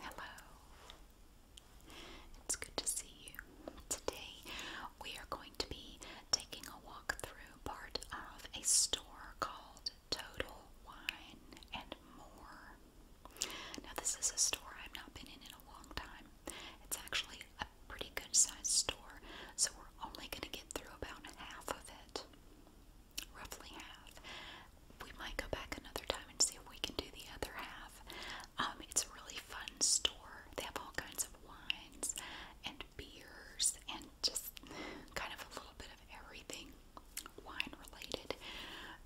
Hello. It's good to see you. Today we are going to be taking a walk through part of a store called Total Wine and More. Now this is a store I've not been in in a long time. It's actually a pretty good sized store, so we're only going to get through about half of it roughly half. We might go back another time and see if we can do the other half. Um, it's a really fun store. They have all kinds of wines and beers and just kind of a little bit of everything wine related.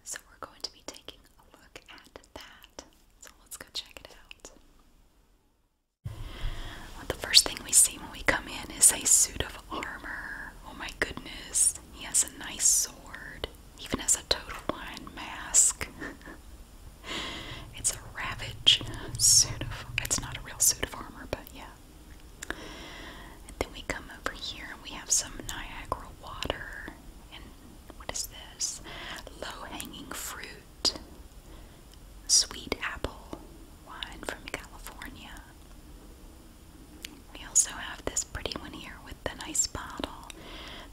So we're going to be taking a look at that. So let's go check it out. the first thing we see when we come in is a suit of armor. Oh my goodness. He has a nice sword. He even has a total wine mask. it's a ravage suit of it's not a real suit of armor, but yeah. And then we come over here and we have some Niagara water and what is this? Low-hanging fruit. Sweet apple wine from California. We also have this pretty one here with the nice bottle.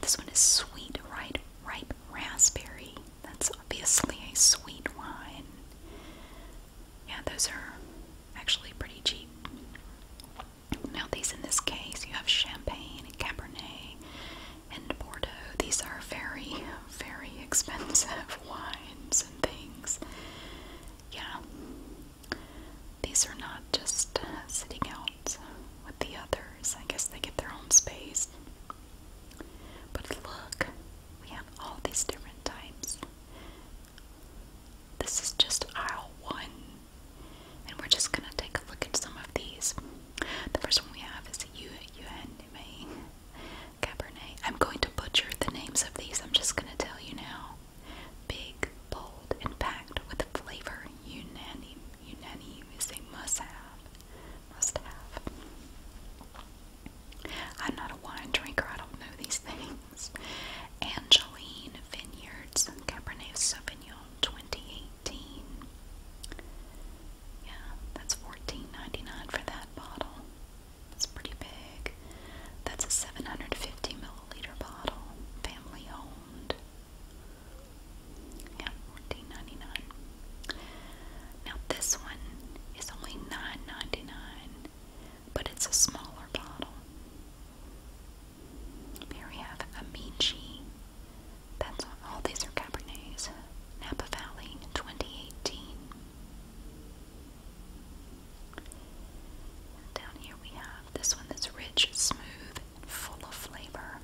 This one is sweet ripe, ripe raspberry. That's obviously a sweet wine. Yeah, those are actually pretty cheap. Now, these in this case, you have champagne and Cabernet and Bordeaux. These are very, very expensive wines and things. Yeah, these are not just uh, sitting out with the others. I guess they get their own space. But look, we have all these different types. This is just aisle one. And we're just gonna take a look at some of these. The first one we have is Yu Yuanime Cabernet. I'm going to butcher the names of these, I'm just gonna tell you now. Big, bold, and packed with flavor. Unanimous. Unani is a must-have. Must-have. I'm not a wine drinker. I don't know these things. Angeline Vineyards Cabernet Sauvignon 2018. Yeah, that's $14.99 for that bottle. It's pretty big. That's a 750 milliliter bottle, family owned. Yeah, 14 Now this one is only 9 but it's a smaller bottle. Here we have Amici. That's all these are Cabernets. Napa Valley 2018. Down here we have this one that's rich, smooth, and full of flavor.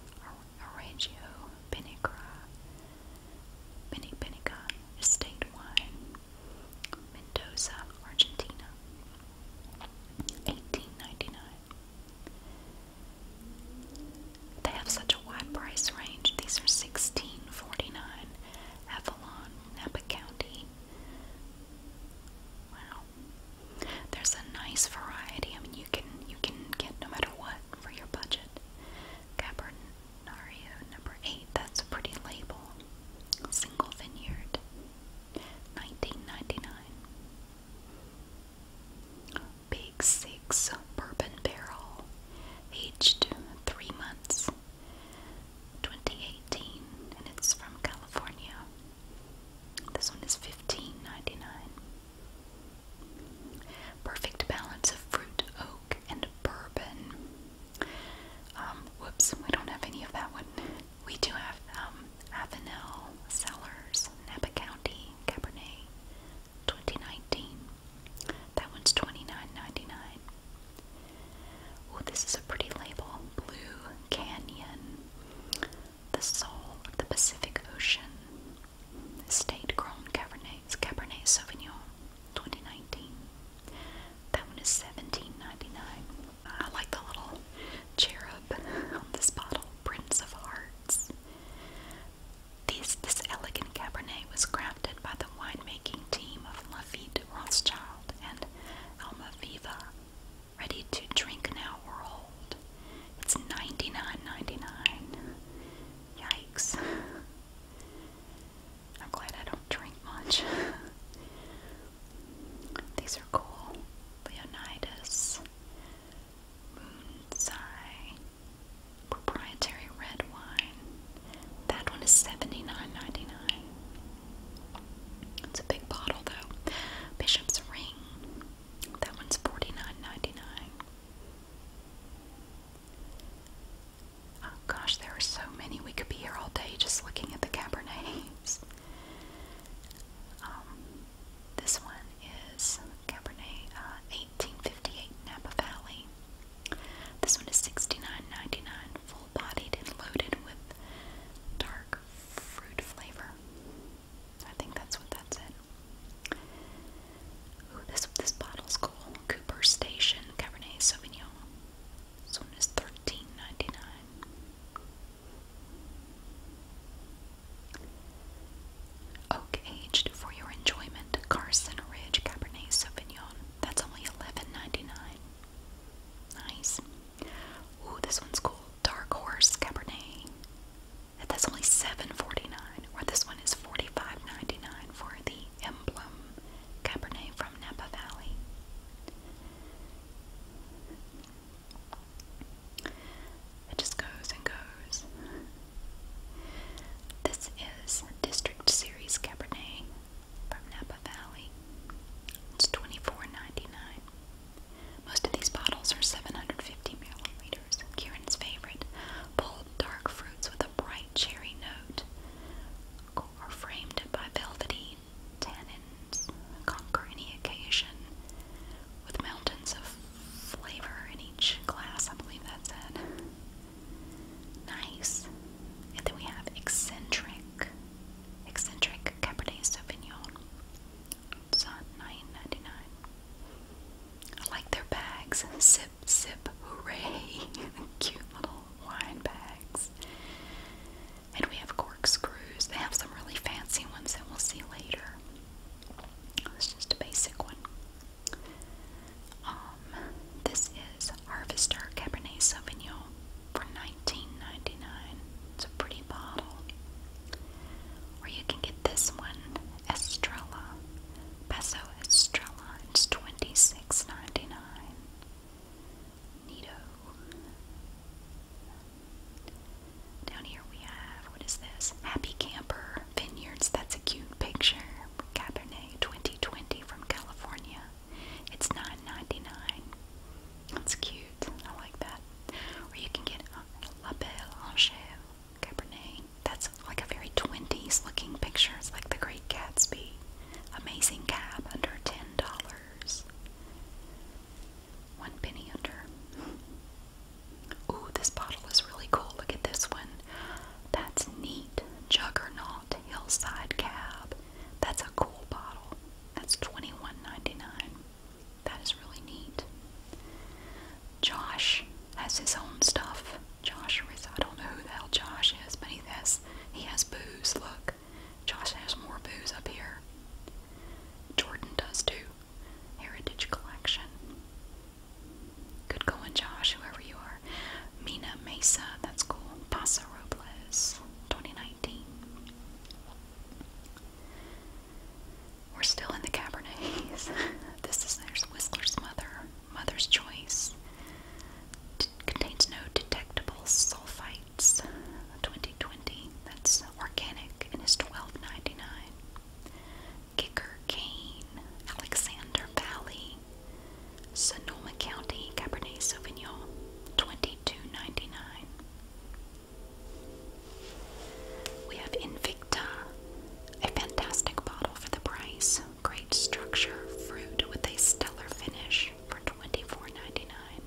Oregio Pinnagra. Pinny Pinnaga Estate Wine. Mendoza, Argentina. 1899. They have such a wide price range. These are 1649. Avalon, Napa County, Wow. There's a nice variety. I mean, you can you can get no matter what for your budget. Cabernario number eight. That's a pretty label. Single vineyard. 1999. Big Six Bourbon Barrel, aged three months. 2018, and it's from California. This one is fifteen ninety nine. Perfect balance of fruit, oak, and bourbon. Um, whoops, we don't have any of that one. We do have um, Avenel, Sellers, Napa County, Cabernet, 2019. That one's 29 Oh, this is a pretty label. Blue Canyon. The soul of the Pacific Ocean. Estate grown Cabernet, Cabernet Sauvignon 2019. That one is seventeen ninety-nine. I like the little cherub on this bottle, Prince of Hearts. These, this elegant Cabernet was crafted by the winemaking team of Lafitte Rothschild and Alma Aviva. Ready to drink now or It's ninety nine ninety nine. Yikes. I'm glad I don't drink much. These are cool. Leonidas. Moonsai. Proprietary red wine. That one is seventy nine ninety nine. It's a big bottle though. Bishop's Ring. That one's forty-nine ninety-nine. Oh gosh, there are so many. We could be here all day just looking at the Cabernets. Um, this one is Cabernet 1858 uh, Napa Valley. This one is sixty-nine ninety-nine full-bodied and loaded with dark fruit flavor. I think that's what that's in. Ooh, this this bottle's cool. Cooper Station Cabernet Sauvignon. This one is thirteen ninety nine. Oak aged for your enjoyment. Carson Ridge Cabernet Sauvignon. That's only eleven ninety nine. Nice. Ooh, this one's cool. Dark Horse Cabernet. That's only $7.49, or this one is $45.99 for the Emblem Cabernet from Napa Valley. It just goes and goes. This is District Series Cabernet from Napa Valley. It's twenty four ninety nine. Most of these bottles are 750 milliliters. Kieran's favorite, bold dark fruits with a bright cherry note, are framed by velvety tannins, conquer any occasion with mountains of flavor in each glass. I believe that's it. Nice. And then we have eccentric Eccentric Cabernet Sauvignon. It's on nine ninety nine. I like their bags. Sip, sip, hooray! Cute little wine bags. And we have corkscrews. They have some really fancy ones that we'll see later. This is just a basic one. Um, this Harvester Cabernet Sauvignon for 19 It's a pretty bottle. Or you can get this one, Estrella, Paso Estrella. It's Nito. Down here we have, what is this? Happy Camper Vineyards. That's a cute picture. Cabernet 2020 from California. It's 9 dollars That's cute. I like that. Where you can get La Belle Angèle Cabernet. That's like a very 20s looking picture. It's like the Great Gatsby. Amazing cab under $10. One penny under. Ooh, this bottle is really cool. Look at this one. That's neat. Juggernaut Hillside Cab. That's a cool bottle. That's $21.99. That is really neat. Josh has his own stuff. Josh, I don't know who the hell Josh is, but he has, he has booze. Look, Josh has more booze up here. Jordan does too. Heritage Collection. Good going, Josh, whoever you are. Mina Mesa, that's cool. Paso Robles. 2019. We're still in the Cabernets. this is there's Whistler's Mother, Mother's Choice. contains no detectable sulfites. 2020. That's organic and is 12.99. dollars 99 Kicker Cane, Alexander Valley, Sonoma County Cabernet Sauvignon, twenty two ninety nine. We have Invicta, a fantastic bottle for the price. Great structure, fruit with a stellar finish for twenty four ninety nine.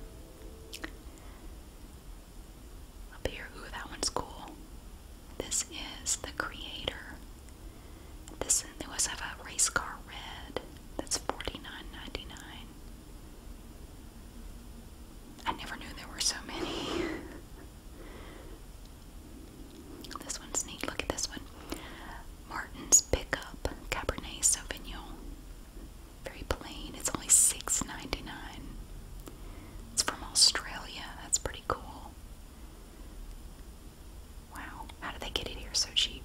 Up here, ooh, that one's cool. This is the creator. This they always have a race car red that's forty nine ninety nine. I never knew there were so many. this one's neat. Look at this one. Martin's Pickup Cabernet Sauvignon. Very plain. It's only six ninety nine. It's from Australia. That's pretty cool. Wow, how did they get it here so cheap?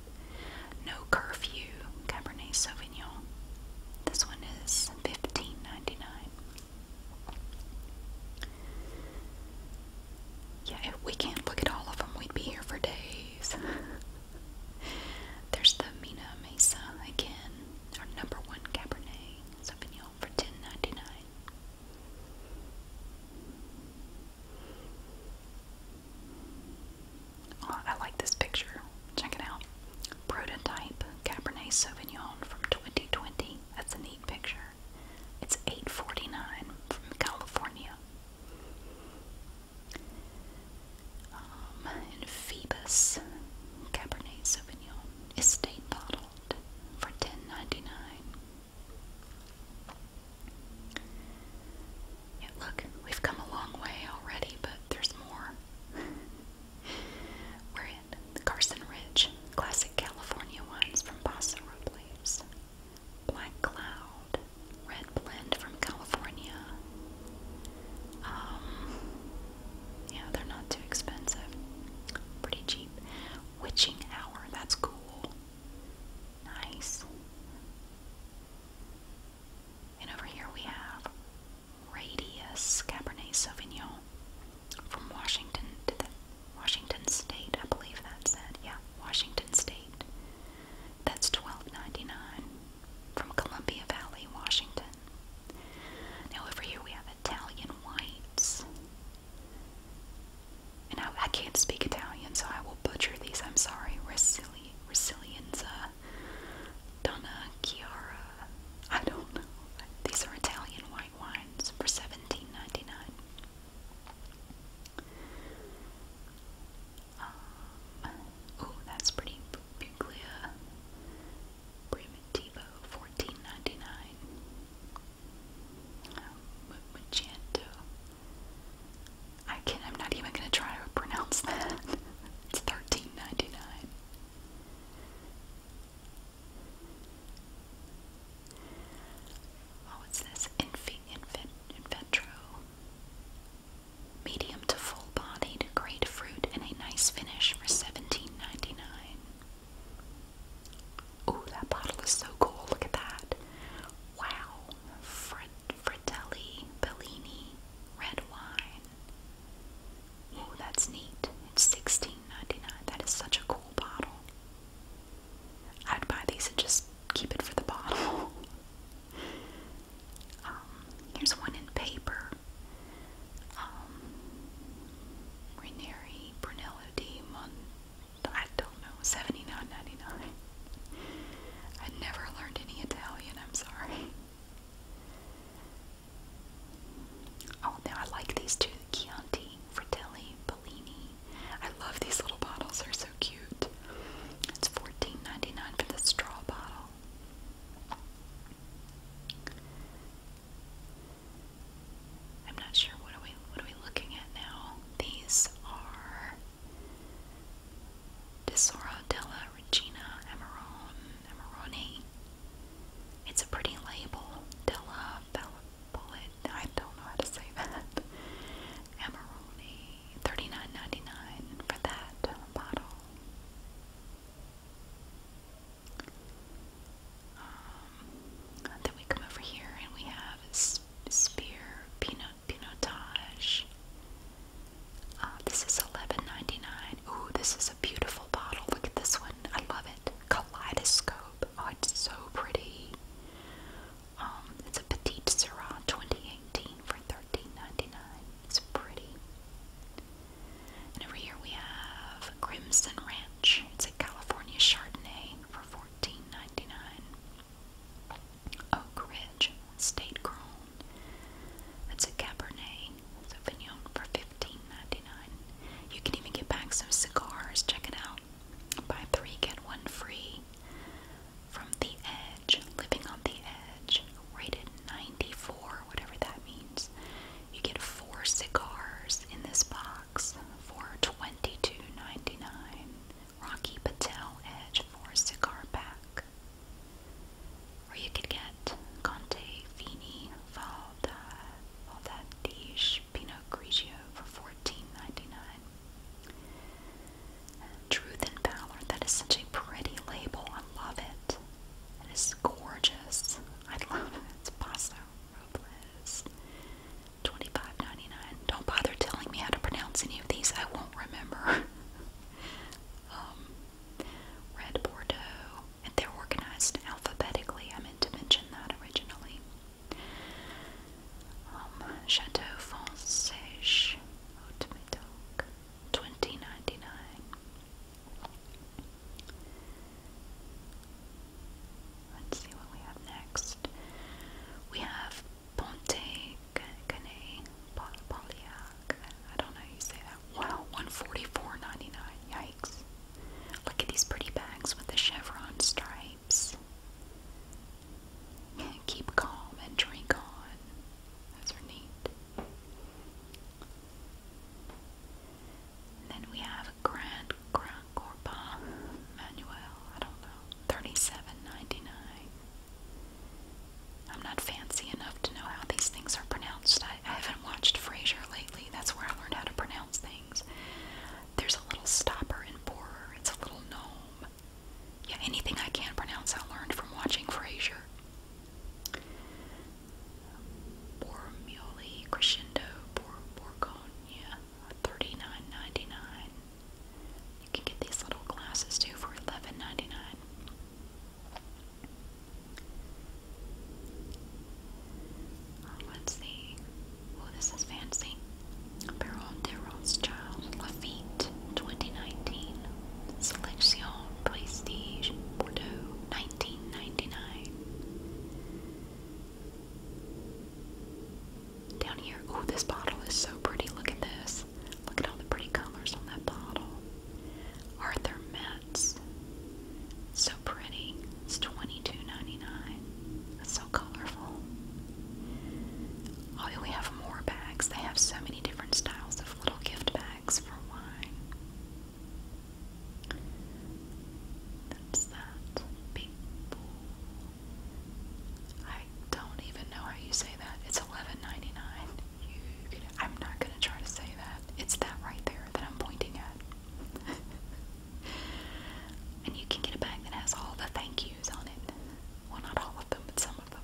No curfew Cabernet Sauvignon. This one is fifteen ninety nine. Yeah, if we can't look at all of them, we'd be here for days. There's the Mina Mesa again, our number one Cabernet Sauvignon for ten ninety nine. Oh, I like this picture. Check it out. Prototype Cabernet Sauvignon from 2020. That's a neat picture. It's 849 from California. Um, Phoebus Cabernet Sauvignon estate bottled for 10.99. Yeah, look, we've come a long way already, but there's more. We're at Carson Ridge, classic California wines from Paso Robles, Black Cloud, Red Blend from California. Um, yeah, they're not too expensive, pretty cheap. Witching Hour, that's cool. Nice. And over here we have Radius Cabernet Sauvignon from Washington Washington State. I believe that's it. Yeah, Washington State. That's $12.99 from Columbia Valley, Washington. Now over here we have Italian whites. And I, can't speak Italian, so I will butcher these. I'm sorry. We're silly. Resilienza, uh, Donna Chiara. I don't know. These are Italian white wines for seventeen ninety nine. Um, oh, that's pretty. Buglia Primitivo, fourteen ninety nine. Um, Magento, I can not I'm not even gonna try to pronounce that. it's thirteen ninety nine. Oh, it's this Infi Infin Inventro. Medium to full bodied, great fruit, and a nice finish for seventeen ninety nine. Ooh, that bottle is so cool. Look at that. Wow frit Bellini red wine. Oh, that's neat. It's 16 is such a cool bottle. I'd buy these and just keep it for the bottle. Um, here's one in paper. Um, Brunello di Mon. I I never learned any Italian, I'm sorry. Oh, now I like these two Chianti, Fratelli, Bellini. I love these little bottles, they're so cute. It's 14 for the straw bottle. I'm not sure what are we what are we looking at now. These are Desora della Regina Amarone. It's a pretty label. Della Bullet. I don't know how to say that. Amarone. 39 for that bottle. Um, then we come over here and we have spear peanut pinotage. Uh, this is eleven ninety nine. Ooh, this is a beautiful bottle. Look at this one. I love it. Kaleidoscope. Oh, it's so pretty. Um, it's a Petite Syrah 2018 for thirteen ninety nine. It's pretty. And over here we have Crimson Ranch. It's a California Chardonnay for fourteen ninety nine. Oak State Grown. That's a Cabernet Sauvignon for $15.99. You can even get back some cigars. Check it out. Buy three, get one free. From the Edge, Living on the Edge, rated 94, whatever that means. You get four cigars in this box for $22.99. Rocky Patel Edge for cigar pack. Or you could get Conte Fini Valda Valdadige Pinot Grigio for Truth and Power, that is such a pretty label. I love it. It is gorgeous. I love it. It's Paso Robles. 25 don't bother telling me how to pronounce any of these. I won't remember. Um, red Bordeaux. they're organized alphabetically. I meant to mention that originally. Chateau Francais. Haute Let's see what we have next. We have Ponte Cane Poliac. I don't know you say that. Wow, 144 Yikes. Look at these pretty bags with the chevron stripes. Keep calm and drink on. Those are neat. then we have Grand Grand Corpa Manuel. I don't know. Thirty-seven ninety-nine. I'm not fancy enough to know how these things are pronounced. I, haven't watched Frasier lately. That's where I learned how to pronounce things. There's a little stopper in borer. It's a little gnome. Yeah, anything I can pronounce I learned from watching Frasier. Bormioli crescendo, bor borgogna, thirty nine ninety nine. You can get these little glasses too for $11.99. Uh, let's see. Oh, this is fancy. Baron de Rothschild Lafitte 2019. Selection Prestige Bordeaux 1999. Down here, oh, this bottle is so pretty. Look at this. Look at all the pretty colors on that bottle. Arthur Metz. So pretty. It's 22 so colorful. Oh, we have more bags. They have so many different styles of little gift bags for wine. That's that. I don't even know how you say that. It's $11.99. I'm not gonna try to say that. It's that right there that I'm pointing at. and you can get a bag that has all the thank yous on it. Well, not all of them, but some of them.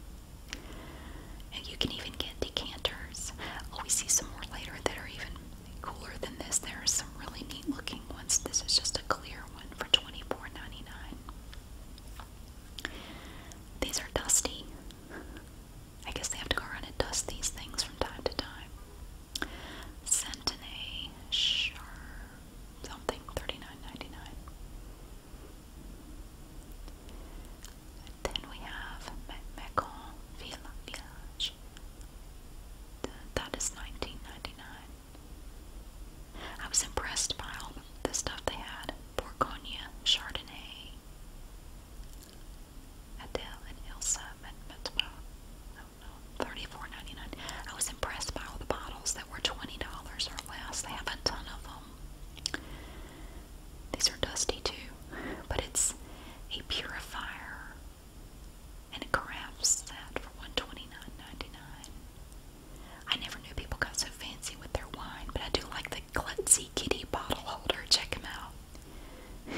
And you can even get decanters. Oh, we see some more later that are even cooler than this. There are some really neat looking ones. This is just a clear one for $24.99. These are dusty. I guess they have to go around and dust these things from time to time. Centene Sharp something, 39 Then we have Macon Village. That I was impressed by all the stuff they had Borgogna, Chardonnay, Adele and Ilsa met Metmo. Uh, I don't I was impressed by all the bottles that were $20 or less. They have a ton of them. These are dusty too, but it's a purifier and it crafts that for 129 dollars I never knew people got so fancy with their wine, but I do like the Glutzy Kitty bottle holder. Check them out.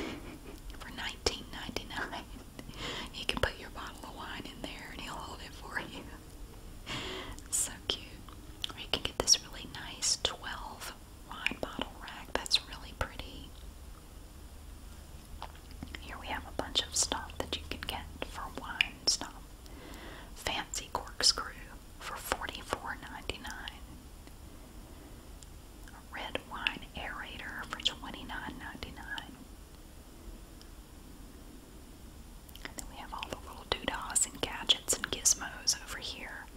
for $19.99, you can put your bottle of wine in there and he'll hold it for you. so cute. We can get this really nice 12 wine bottle rack. That's really pretty. Here we have a bunch of stuff that you can get for wine stuff. Fancy corkscrew for $44.99. red wine aerator for 29 And then we have all the little doodahs and gadgets and gizmos over here.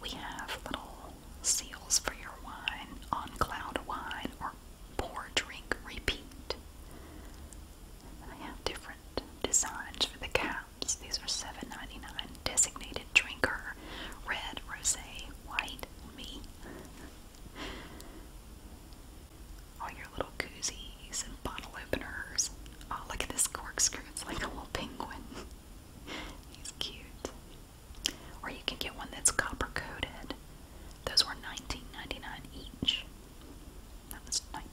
We have little seals for your wine, on cloud wine, or pour drink repeat. I have different designs for the caps. These are $7.99. Designated drinker, red, rosé, white, me. All your little koozies and bottle openers. Oh, look at this corkscrew. It's like a little penguin. He's cute. Or you can get one that's copper coated. Those were $19.99 each. That was $19.99.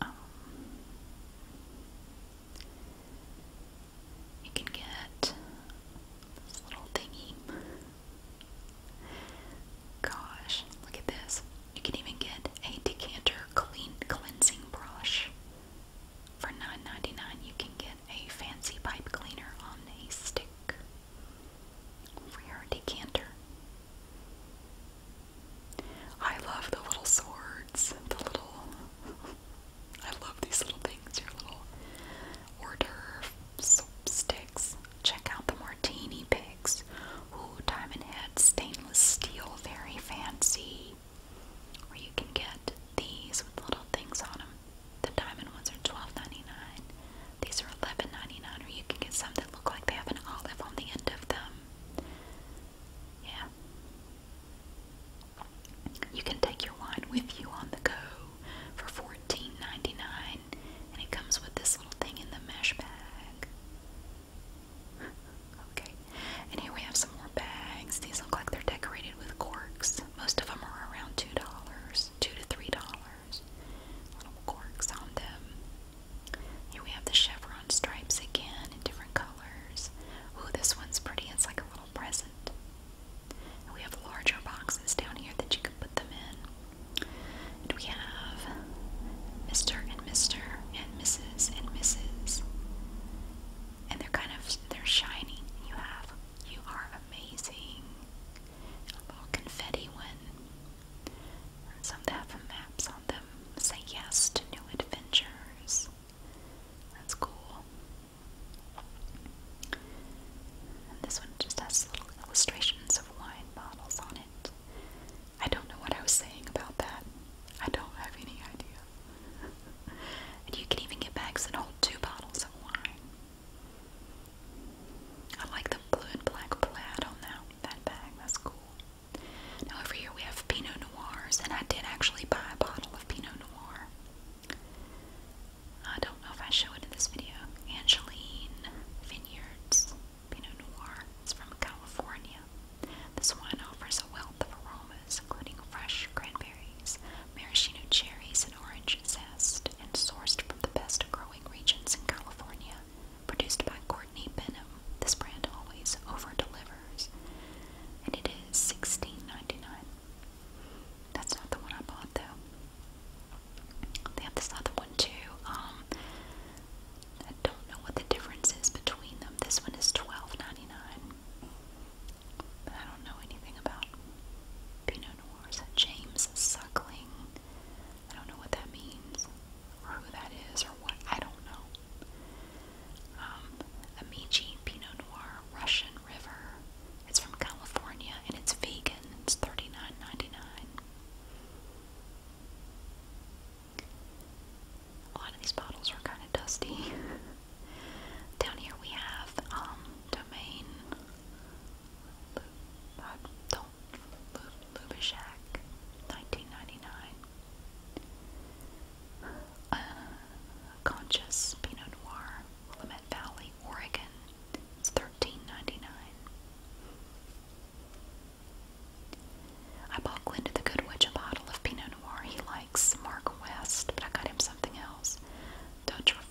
Um, you can get this little thingy. Gosh, look at this. You can even get a decanter clean cleansing brush. For $9.99 you can get a fancy pipe cleaner on a stick for decanter. I love the little swords, the little. I love these little things, your little order sticks. Check out the martini pigs. Ooh, Diamond Head stainless steel, very fancy. Or you can get these with little things on them. The diamond ones are 12 These are 11 or you can get some that look like they have an olive on the end of them. Yeah. You can take your wine with you on the go for 14 and it comes with this little thing in the mesh bag. okay, and here we have some more bags. These look like they're decorated with corks. Most of them are around $2, 2 to $3 little corks on them. Here we have the chevron stripes again in different colors. Ooh, this one's pretty. It's like a little present. And we have larger boxes down here that you can put them in. we have Mr. and Mr. and Mrs. and Mrs. And they're kind of, they're shiny. You have, you are amazing a little confetti one. some that have maps on them. Say yes to new adventures. That's cool. And this one just has little illustrations of wine bottles on it. I don't know what I was saying about that. I don't have any idea. and you can even get bags that hold two bottles of wine. I like the blue and black plaid on that that bag. That's cool. Now over here we have Pinot Noirs, and I did actually buy a bottle of Pinot Noir. I don't know if I show it in this video. Angeline Vineyards Pinot Noir. is from California. This wine offers a wealth of aromas, including fresh cranberries, maraschino cherries, and orange rich and sourced from the best growing regions in California. Produced by Courtney Benham, this brand always over delivers, and its sixteen ninety nine. That's not the one I bought though. They have this other one too. Um, I don't know what the difference is between them. This one is 12 but I don't know anything about Pinot James Suckling. I don't know what that means, or who that is, or what, I don't know. Um, Amici Pinot Noir Russian River. It's from California, and it's vegan. It's 39 A lot of these bottles are kind of dusty. Down here we have um, Domaine Lubashak, 1999. Uh, Conscious Pinot Noir, Willamette Valley, Oregon. It's 13 I bought Glenn the Good Witch a bottle of Pinot Noir he likes, Mark West, but I got him something else. Dutch Refoy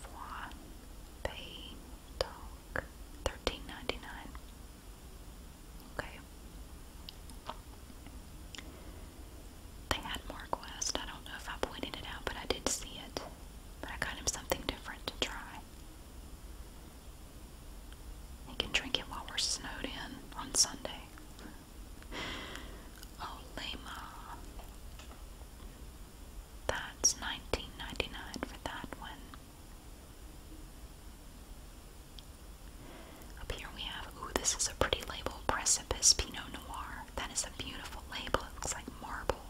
dog. Thirteen ninety nine. Okay. They had Mark West. I don't know if I pointed it out, but I did see it. But I got him something different to try. He can drink it while we're snowed in on Sunday. Olema. That's nineteen ninety nine for that one. Up here we have, ooh, this is a pretty label, Precipice Pinot Noir. That is a beautiful label. It looks like marble.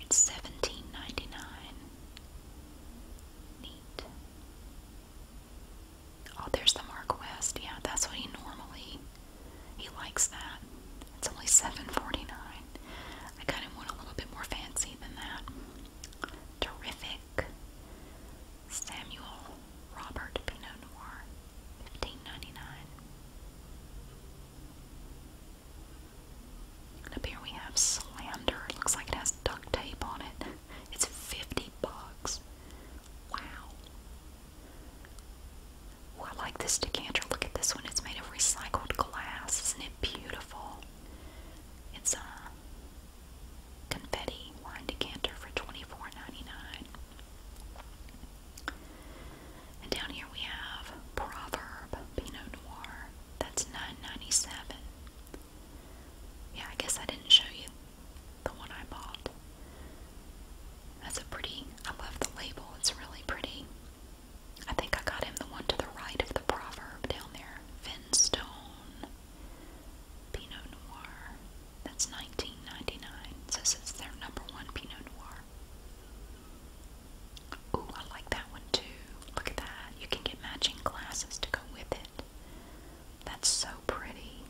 It's seventeen ninety nine. Neat. Oh, there's the Mark West. Yeah, that's what he normally he likes that. It's only $7.49. I kind of want a little bit more fancy than that. Terrific. Samuel Robert Pinot Noir, 15 up here we have Slander. looks like it has duct tape on it. It's 50 bucks. Wow. I like this decanter. Look at this one. It's made of recycled glass. Isn't it beautiful? It's a confetti wine decanter for 24 And down here we have Proverb Pinot Noir. That's 9 Yeah, I guess I didn't show you the one I bought. That's a pretty, I love the label. It's really pretty. I think I got him the one to the right of the proverb down there. Finstone Pinot Noir. That's nineteen ninety nine. Says it's their number one Pinot Noir. Ooh, I like that one too. Look at that. You can get matching glasses to go with it. That's so pretty.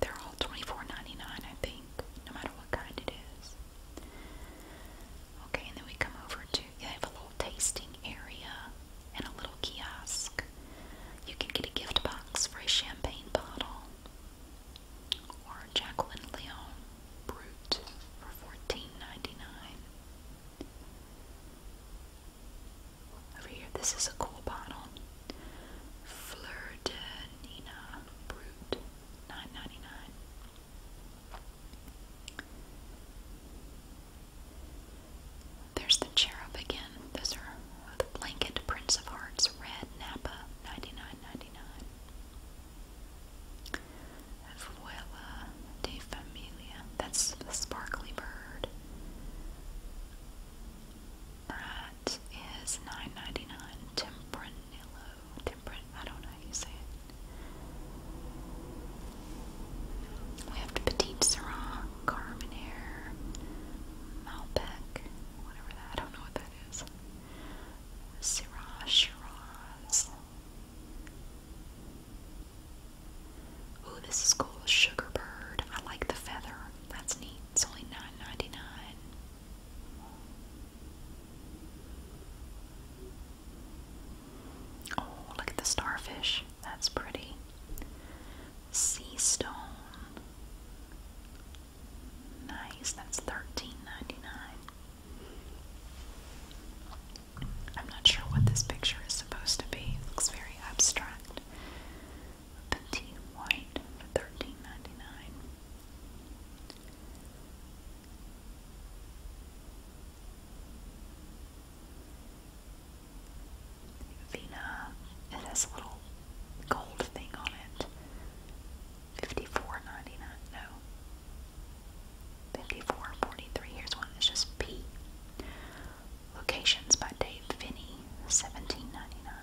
they're all 24 I think, no matter what kind it is. Okay, and then we come over to, they have a little tasting area and a little kiosk. You can get a gift box for a champagne bottle or Jacqueline Leon Brut for $14.99. Over here, this is a cool bottle. Fleur Brut, 9 there's the cherub again. Those are the blanket Prince of Hearts Red Napa, 99 dollars de Familia. That's the sparkly bird. That Temperance Tempranillo, I don't know how you say it. We have the Petite Carmenere, Malbec, whatever that, I don't know what that is. Syrah, Shiraz. Ooh, this is called Sugarbird. I like the feather. That's neat. It's only $9.99. Oh, look at the starfish. That's pretty. Sea stone. Nice. That's 13 I'm not sure what this picture is supposed to be. looks very abstract. Petite white for 13 Vina, it has a little gold thing on it. Fifty-four ninety-nine. No. Fifty-four forty-three. Here's one that's just P. Locations by Dave Finney, seventeen ninety-nine.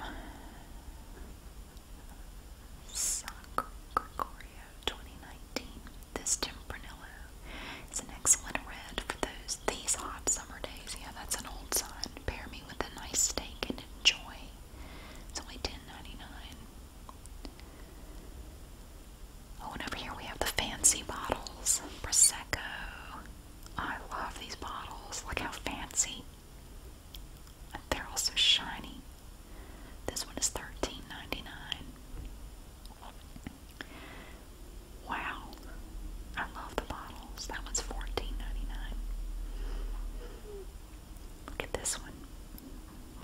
Um, Sacro 2019. This Tempranillo is an excellent red for those these hot summer days. Yeah, that's an old sign. Pair me with a nice steak and enjoy. It's only $10.99. Oh, and over here we have the fancy bottles. Prosecco. I love these bottles. Look how fancy. they're all so shiny. This one is $13.99. Wow. I love the bottles. That one's 14 Look at this one.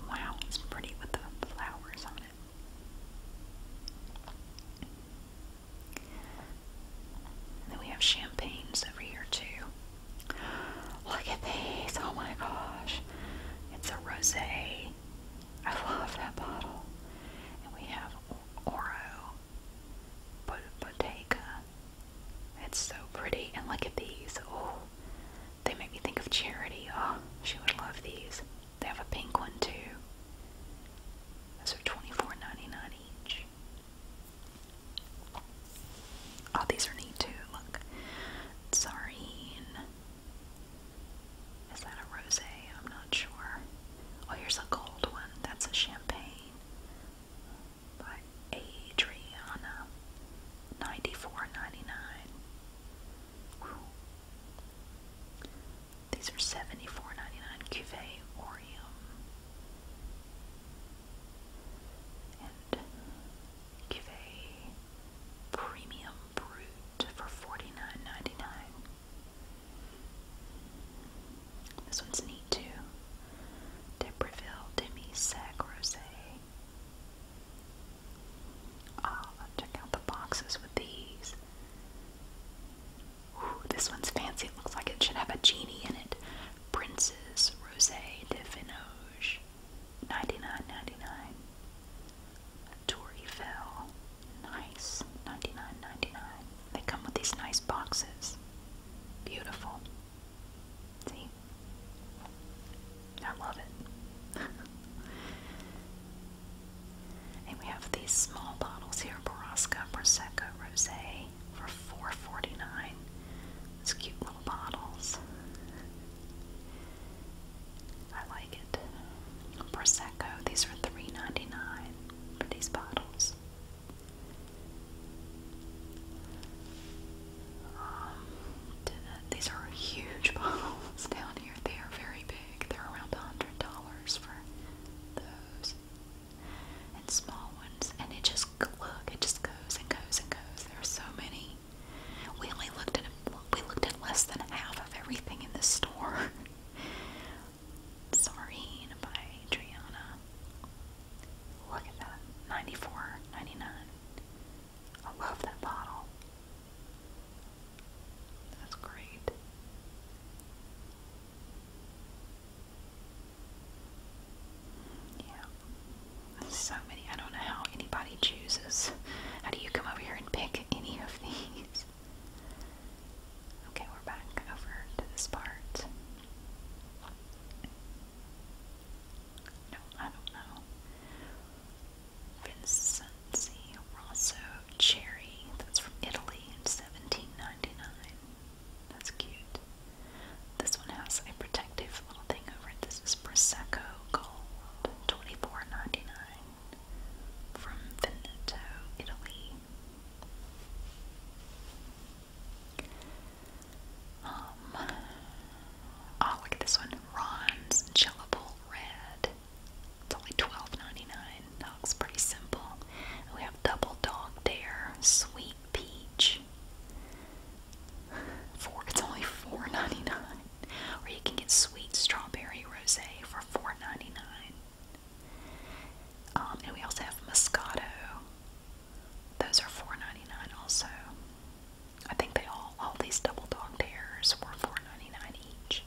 Wow, it's pretty with the flowers on it. And then we have champagnes over here too. Look at these. Oh my gosh. It's a rosé. I love that bottle. And we have Oro but Bottega. It's so pretty. And look at these. Oh, they make me think of Charity. Oh, she would love these. They have a pink one too. Those are 24 each. Oh, these are neat too. Look. Tsarine. Is that a rose? I'm not sure. Oh, here's a gold one. That's a champagne by Adriana. 94 these are seventy four ninety nine Cuvée Orium and Cuvée Premium Brut for forty nine ninety nine. This one's neat too. Debreville Demi Sac Rosé. Ah, check out the boxes with these this one's fancy. looks like it should have a genie in it. Princes Rosé de Finoge, ninety nine ninety nine. Tory Fell, nice, ninety nine ninety nine. They come with these nice boxes. Beautiful. See, I love it. And we have these small bottles here, Borrasca Prosecco Rosé for $4.49. cute little bottles. I like it. Prosecco, these are $3.99 for these bottles. Um, these are huge bottles down here. They are very big. They're around $100 for those and small ones, and it just look, it just goes and goes and goes. There are so many. We only looked at we looked at less than half of everything in the store. Soreen by Adriana. Look at that, ninety-four, ninety-nine. I love that bottle. That's great. Yeah. So many. I don't know how anybody chooses. How do you come over here and pick any of these? Okay, we're back over to this part. No, I don't know. Vincenzi Cherry. That's from Italy in 1799. That's cute. This one has a protective little thing over it. This is Prosecco Gold, 24 from Veneto, Italy. Um, oh, look at this one. Ron's Chillable Red. It's only 12 Dog's pretty simple. We have Double Dog Dare, Sweet Peach. Four, it's only four ninety nine. dollars Or you can get Sweet Strawberry Rose for four ninety nine. Um, and we also have Moscato. Those are four ninety nine also. I think they all all these double dog dares were four ninety nine each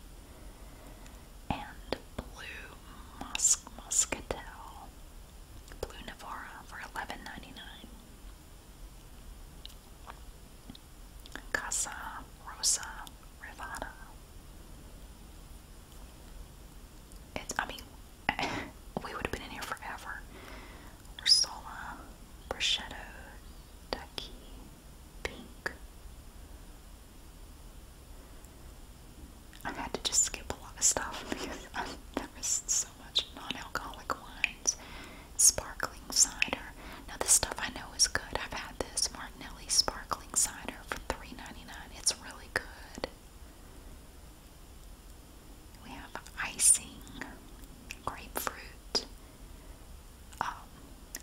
and blue musk muscatel, blue Navara for eleven ninety nine. Casa Rosa Rivada. It's I mean we would have been in here forever. Ursola, bruschetto, ducky, pink, I've had to just skip a lot of stuff because I've, there was so much non-alcoholic wines, sparkling cider. Now this stuff I know is good. I've had this Martinelli sparkling cider for three ninety nine. It's really good. We have icing, grapefruit, um,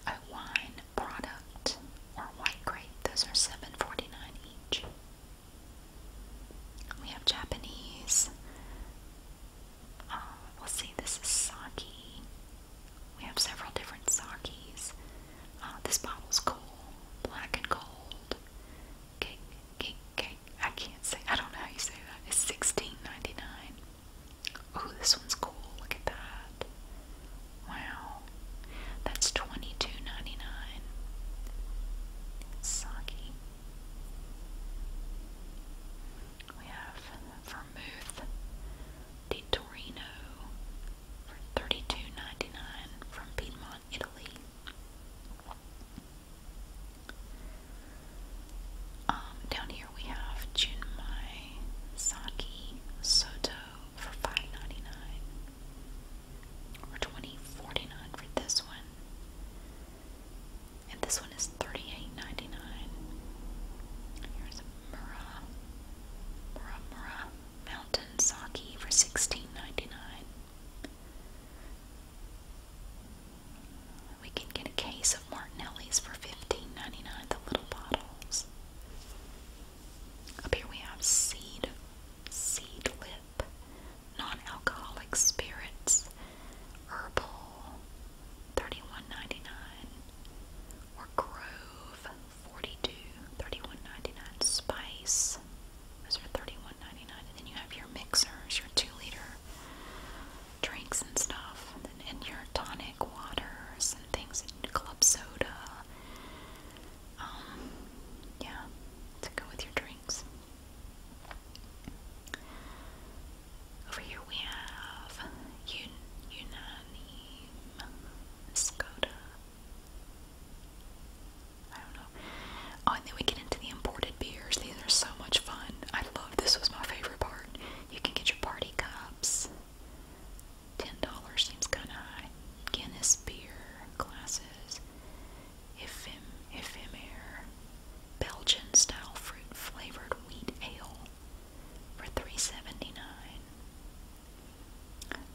a wine product or white grape. Those are seven forty nine each. We have Japanese. Um, we'll see, this is sake. We have several different sakes. Uh, this bottle's cool. Black and gold. Cake, cake, cake. I can't say, I don't know how you say that. It's sixteen ninety nine. Oh, this one's cool. Look at that. Wow. That's twenty two ninety nine. Sake. We have vermouth di Torino for thirty two ninety nine from Piedmont, Italy. Um, down here we have Junmai Sake Soto for 5 or 20 for this one. And this one is 38 Here's a Murrah, Mountain Sake for 16 We can get a case of Martinelli's for 15 the little bottles. Up here we have seed, seed lip, non-alcoholic spirits, herbal, thirty-one ninety-nine, or Grove, forty-two, thirty-one ninety-nine. Spice, those are thirty-one ninety-nine, and then you have your mixers, your two-liter drinks and stuff, and, and your tonic waters and things, and club soda um, yeah, to go with your drinks. Over here we have Un Unanime Skoda. I don't know. Oh, and then we get into the imported beers. These are so much fun. I love this was my favorite part. You can get your party cups ten dollars seems kind of high. Guinness beer glasses, Ephim Ephemer, Belgian style fruit flavored wheat ale for three seventy nine.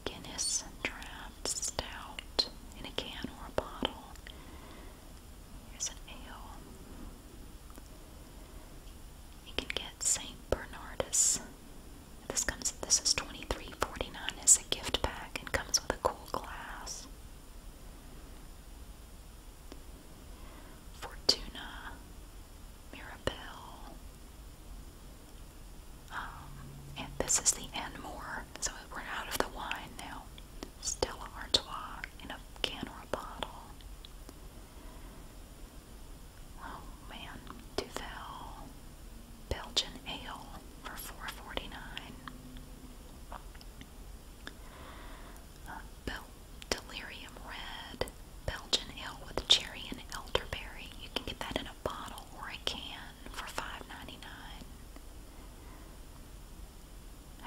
Guinness draft stout in a can or a bottle. Here's an ale. You can get St. Bernardus this comes this is twenty three forty nine. dollars as a gift pack and comes with a cool glass. Fortuna Mirabelle. Um, and this is the Enmore, so we're out of the wine now. Stella Artois in a can or a bottle. Oh man, Duvel Belgian ale for four forty nine. Uh, Delirium Red Belgian ale with cherry and elderberry. You can get that in a bottle or a can for five ninety nine.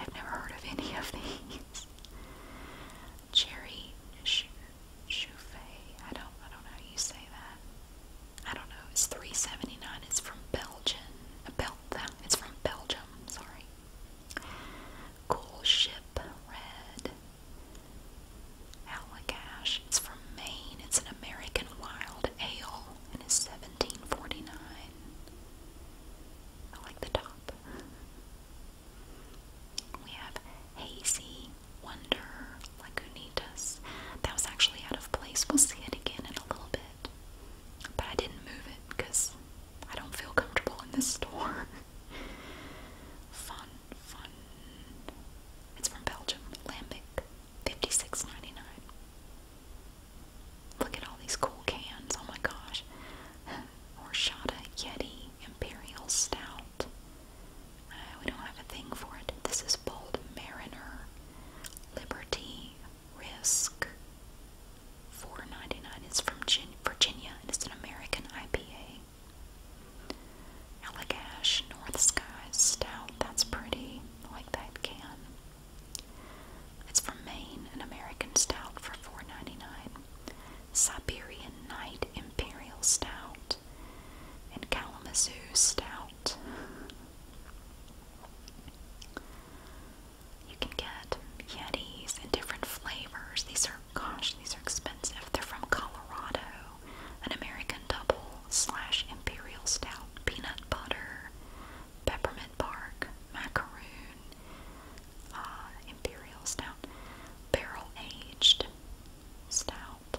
I've never heard of any of these. Cherry sh Chouffe. I don't I don't know how you say that. I don't know. It's 379. It's from Belgium. Bel it's from Belgium, sorry. Cool Ship Red. Allagash. It's from Maine. It's an American wild ale and it's 1749. I like the top. We have Hazy Wonder like Lagunitas. That was actually out of place. We'll see it again in a little bit. But I didn't move it because I don't feel comfortable in this store. fun, fun. It's from Belgium. Lambic. 56 Look at all these cool cans. Oh my gosh. Horchata Yeti Imperial Stout. Uh, we don't have a thing for it. This is bold mariner, liberty, risk. Four ninety nine. It's from Virginia, and it's an American IPA. Allagash, North Sky Stout. That's pretty. like that can. It's from Maine, an American stout for four ninety nine. Siberian Night Imperial Stout. In Kalamazoo Stout. You can get Yetis in different flavors. These are, gosh, these are expensive. They're from Colorado. An American Double slash Imperial Stout, peanut butter, peppermint bark, macaroon, uh, Imperial Stout, barrel aged, stout.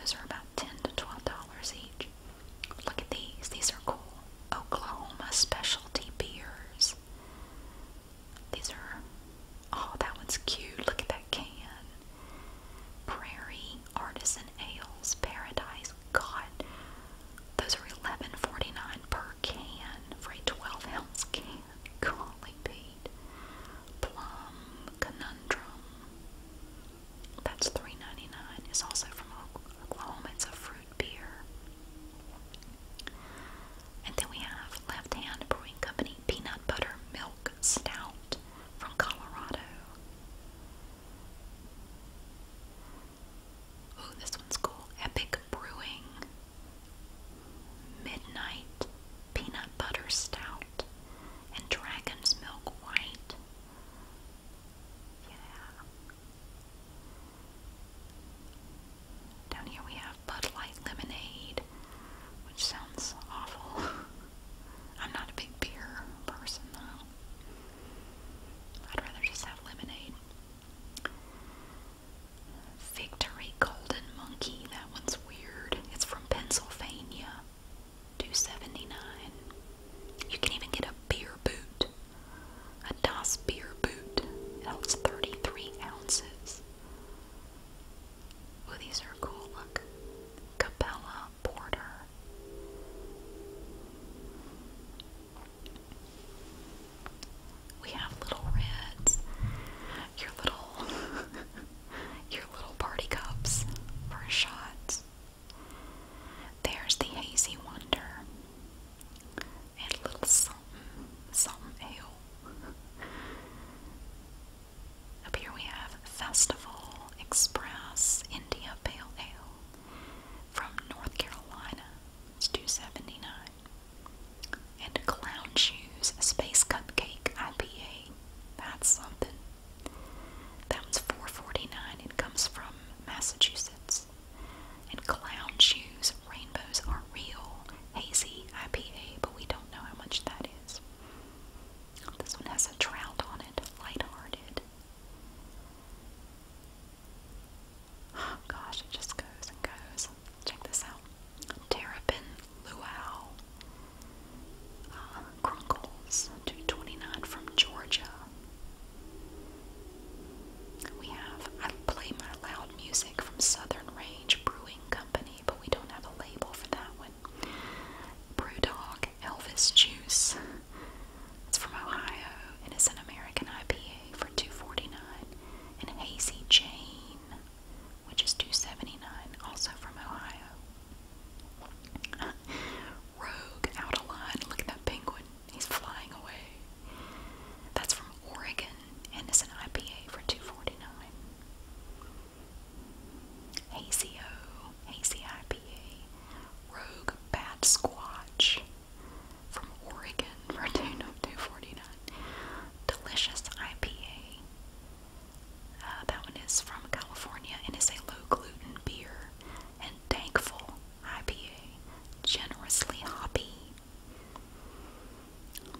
Those are about ten to twelve dollars each. Look at these. These are cool. Oklahoma specialty beers. These are oh that one's cute. Look at that can. Prairie Artisan Ales Paradise. God, those are $11.49 per can for a 12 ounce can currently paid. Plum Conundrum. That's 3 It's also from Oklahoma. It's a fruit beer. And then we have Left Hand Brewing Company Peanut Butter Milk Stout from Colorado. Ooh, this one's cool. Epic Brewing Midnight Peanut Butter Stout and dragon's milk white. Yeah. Down here we have Bud Light lemonade, which sounds awful. I'm not a big beer person though. I'd rather just have lemonade. Victory Golden Monkey. That one's weird. It's from Pennsylvania. 279. You can even get a beer boot. A DOS beer boot. It holds 33 ounces. Oh, these are cool. Look. Capella Porter. We have little reds. Your little your little party cups for a shot. There's the hazy wonder. And a little something, something ale. Up here we have Festival Express India Pale Ale from North Carolina. It's 279. And Clown Shoes Space Cupcake IPA. That's something. That was four forty nine dollars It comes from Massachusetts. And Clown Shoes Rainbows Are Real Hazy IPA, but we don't know how much that is. This one has a trout on it, lighthearted. Oh gosh, it just goes and goes. Check this out. Terrapin Luau. Uh, Crunkles, 229 from Georgia. We have, I play my loud music from Southern Range Brewing Company, but we don't have a label for that one. Brewdog Elvis Juice. It's from Ohio and it's an American IPA for 249. And Hazy Jane which is 279, also from Ohio. Rogue, out of line. Look at that penguin. He's flying away. That's from Oregon, and it's an IPA for 249. Hazy O, IPA. Rogue Bad Squatch from Oregon for 249. Delicious IPA uh, that one is from California and is a low gluten beer and thankful IPA, generously hoppy.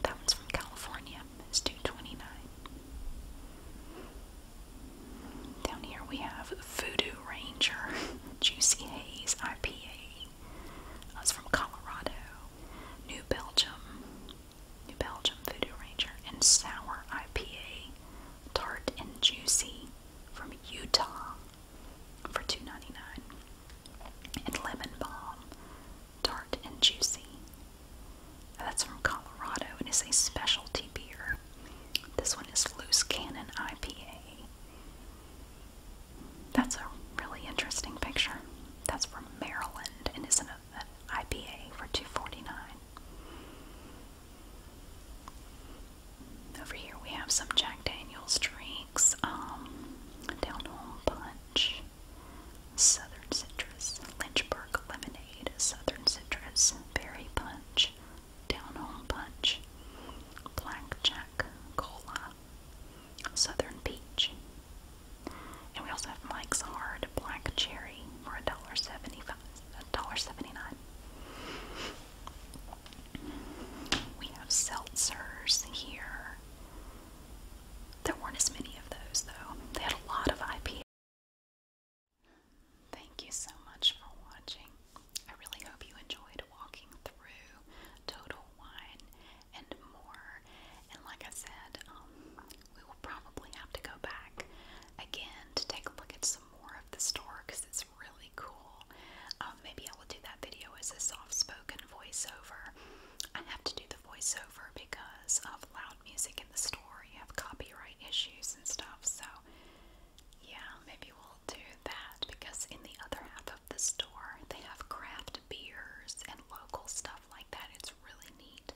That one's from California. It's two twenty nine. Down here we have Voodoo Ranger Juicy Haze IPA. That's from Colorado, New Belgium, New Belgium Voodoo Ranger, and Sour IPA, Tart and Juicy from Utah for two ninety nine. And Lemon Balm, Tart and Juicy. That's from Colorado and is a specialty beer. This one is Loose Cannon IPA. That's a really interesting picture. That's from Maryland and is an IPA for two forty nine. Over here we have some Jack Daniels drinks, um, Down Home Punch, Southern Citrus, Lynchburg Lemonade, Southern Citrus, Berry Punch, Down Home Punch, Blackjack Cola, Southern Peach, and we also have Mike's Hard Black Cherry for $1.75, $1.79. We have seltzers here. There weren't as many of those though. They had a lot of IPA. Thank you so much for watching. I really hope you enjoyed walking through Total Wine and more. And like I said, um, we will probably have to go back again to take a look at some more of the store because it's really cool. Um, maybe I will do that video as a soft spoken voiceover. I have to do the voiceover because of loud music in the store. You have copyright issues and stuff, so yeah, maybe we'll do that because in the other half of the store, they have craft beers and local stuff like that. It's really neat.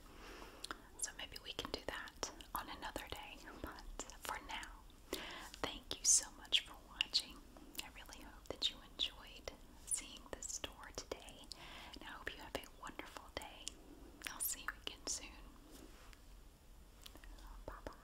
So maybe we can do that on another day. But for now, thank you so much for watching. I really hope that you enjoyed seeing the store today. And I hope you have a wonderful day. I'll see you again soon. Bye bye.